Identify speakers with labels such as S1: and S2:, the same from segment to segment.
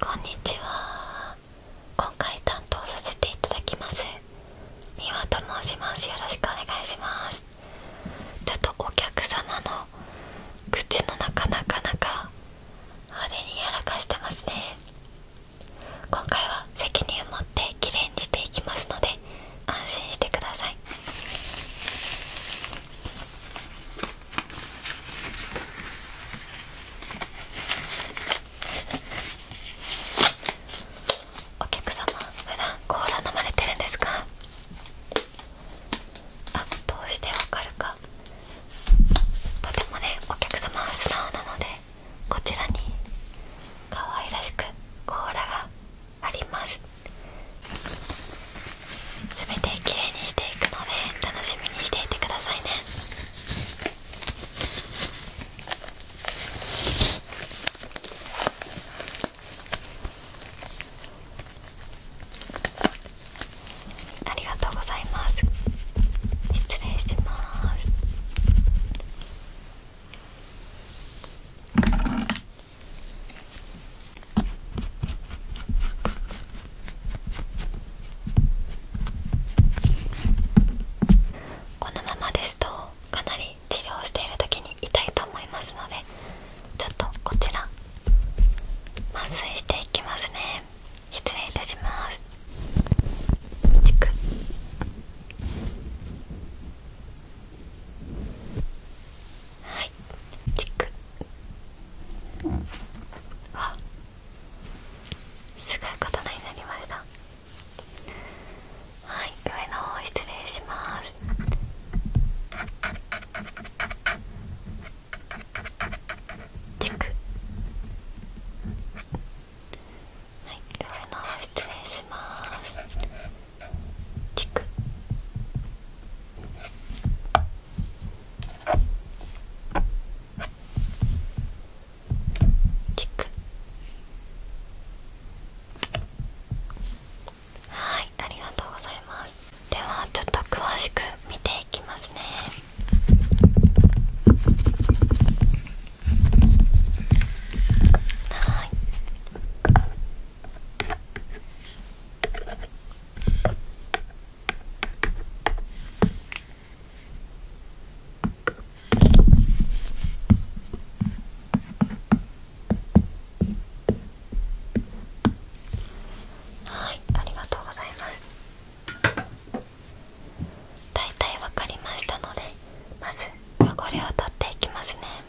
S1: こんにちは今回担当させていただきます美和と申しますよろしくお願いしますちょっとお客様の口の中なかなか派手にやらかしてますね今回は責任を持ってきれいにしていきますので安心してくださいお客様普段コーラ飲まれてるんですかあどうしてわかるかとてもねお客様は素直なのでこちらに可愛らしくコーラがありますべてきれいにしていくので楽しみにしていてくださいねありがとうございます失礼しますこのままですとかなり治療している時に痛いと思いますのでちょっとこちら麻酔していきますね失礼いたしますはいチクあすごい刀になりましたはい上の失礼しますチクはい上の方失礼しますチクチクはいありがとうございますではちょっと詳しく見ていきますねはいはいありがとうございます大体分かりましたのでまず汚れを取っていきますね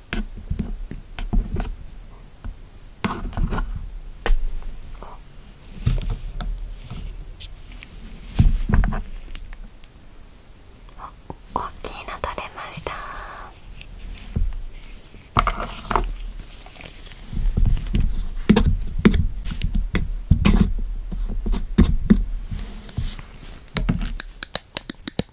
S1: お大きいの取れました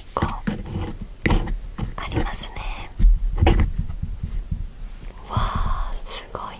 S1: 結ありますねわあすごい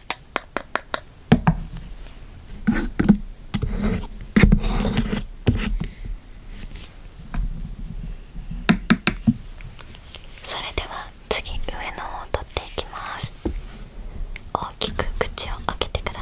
S1: それでは次上の方を取っていきます大きく口を開けてください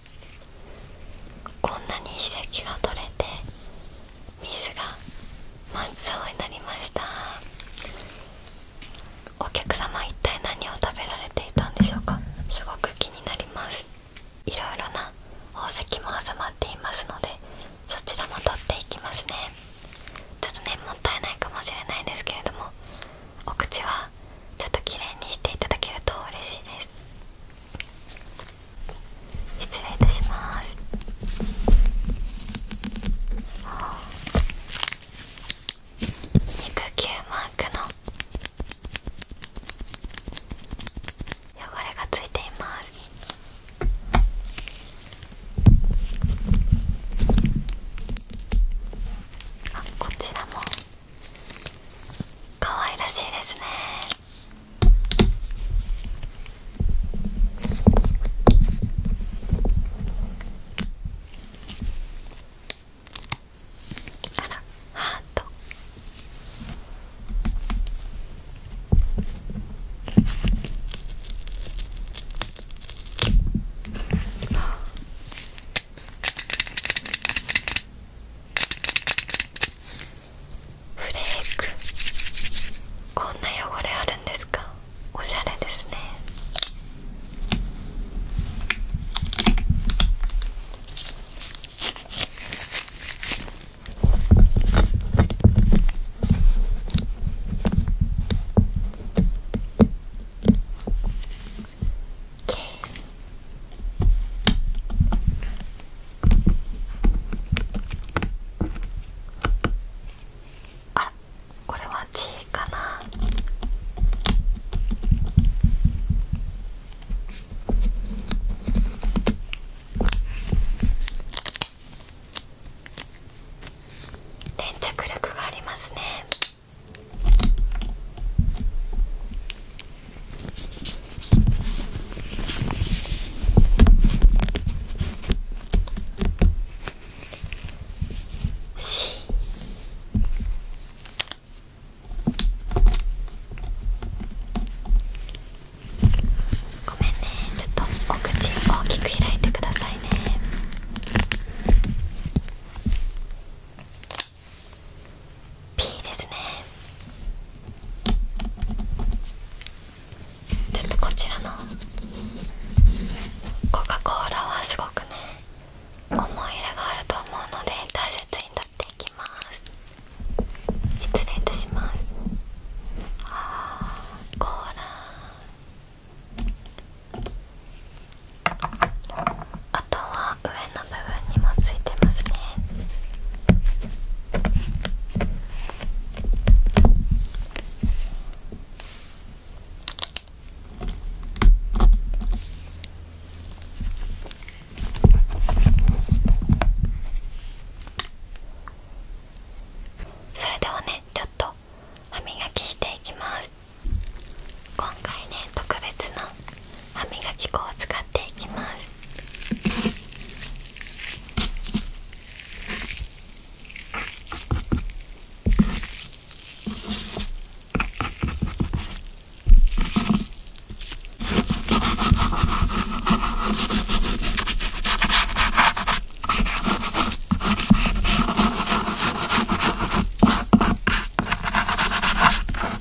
S1: こんなに歯石が取れて水が真っ青になりましたお客様一体何を食べられていたんでしょうかすごく気になります色々な宝石も挟まっていますのでそちらも取っていきますねちょっとねもったいないかもしれないんですけれどもお口はちょっときれいにしていただけると嬉しいです失礼いたします肉球マークの汚れがついていますあこちらも可愛らしいですねあらハートフレークこんな汚れあるんですかおしゃれですねあらこれは G かな粘着力がありますね。ごめんねちょっとお口大きく開いてくださいね。P ですねちょっとこちらのコカ・コーラはすごくね思い入れがあると思うので大切に取っていきます失礼いたしますあコーラあとは上の部分にもついてますねそれではねちょっと歯磨きしていきます今回ね特別な歯磨き粉を使っていきますこ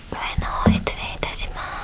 S1: 失礼いたします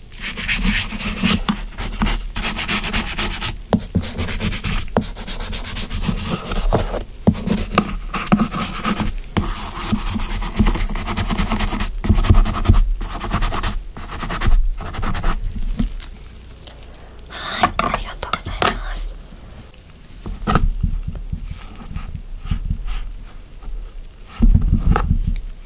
S1: はい、ありがとうございます。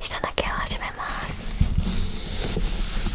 S1: 下の毛を始めます。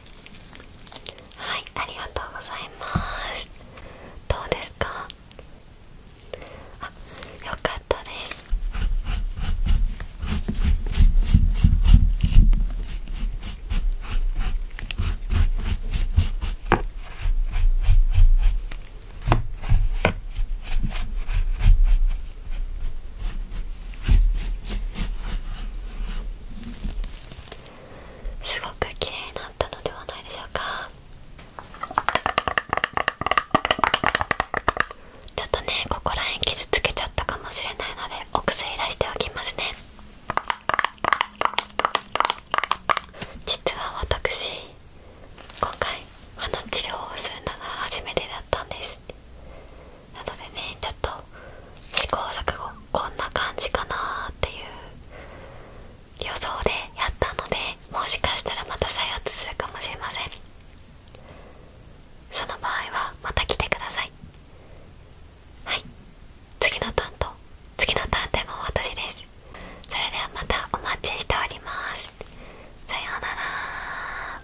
S1: はいありがとうございますどうですかあよかったですはいすごく綺麗になったのではないでしょうかちょっとねここら辺傷つけちゃったかもしれないのでお薬出しておきますね実は私今回あの治療をするのが初めてだったんですなでねちょっと試行錯誤こんな感じかなっていう予想でやったのでもしかしたらまた再発するかもしれませんその場合はまた来てくださいはい次の担当次の担当も私ですそれではまたお待ちしておりますさようなら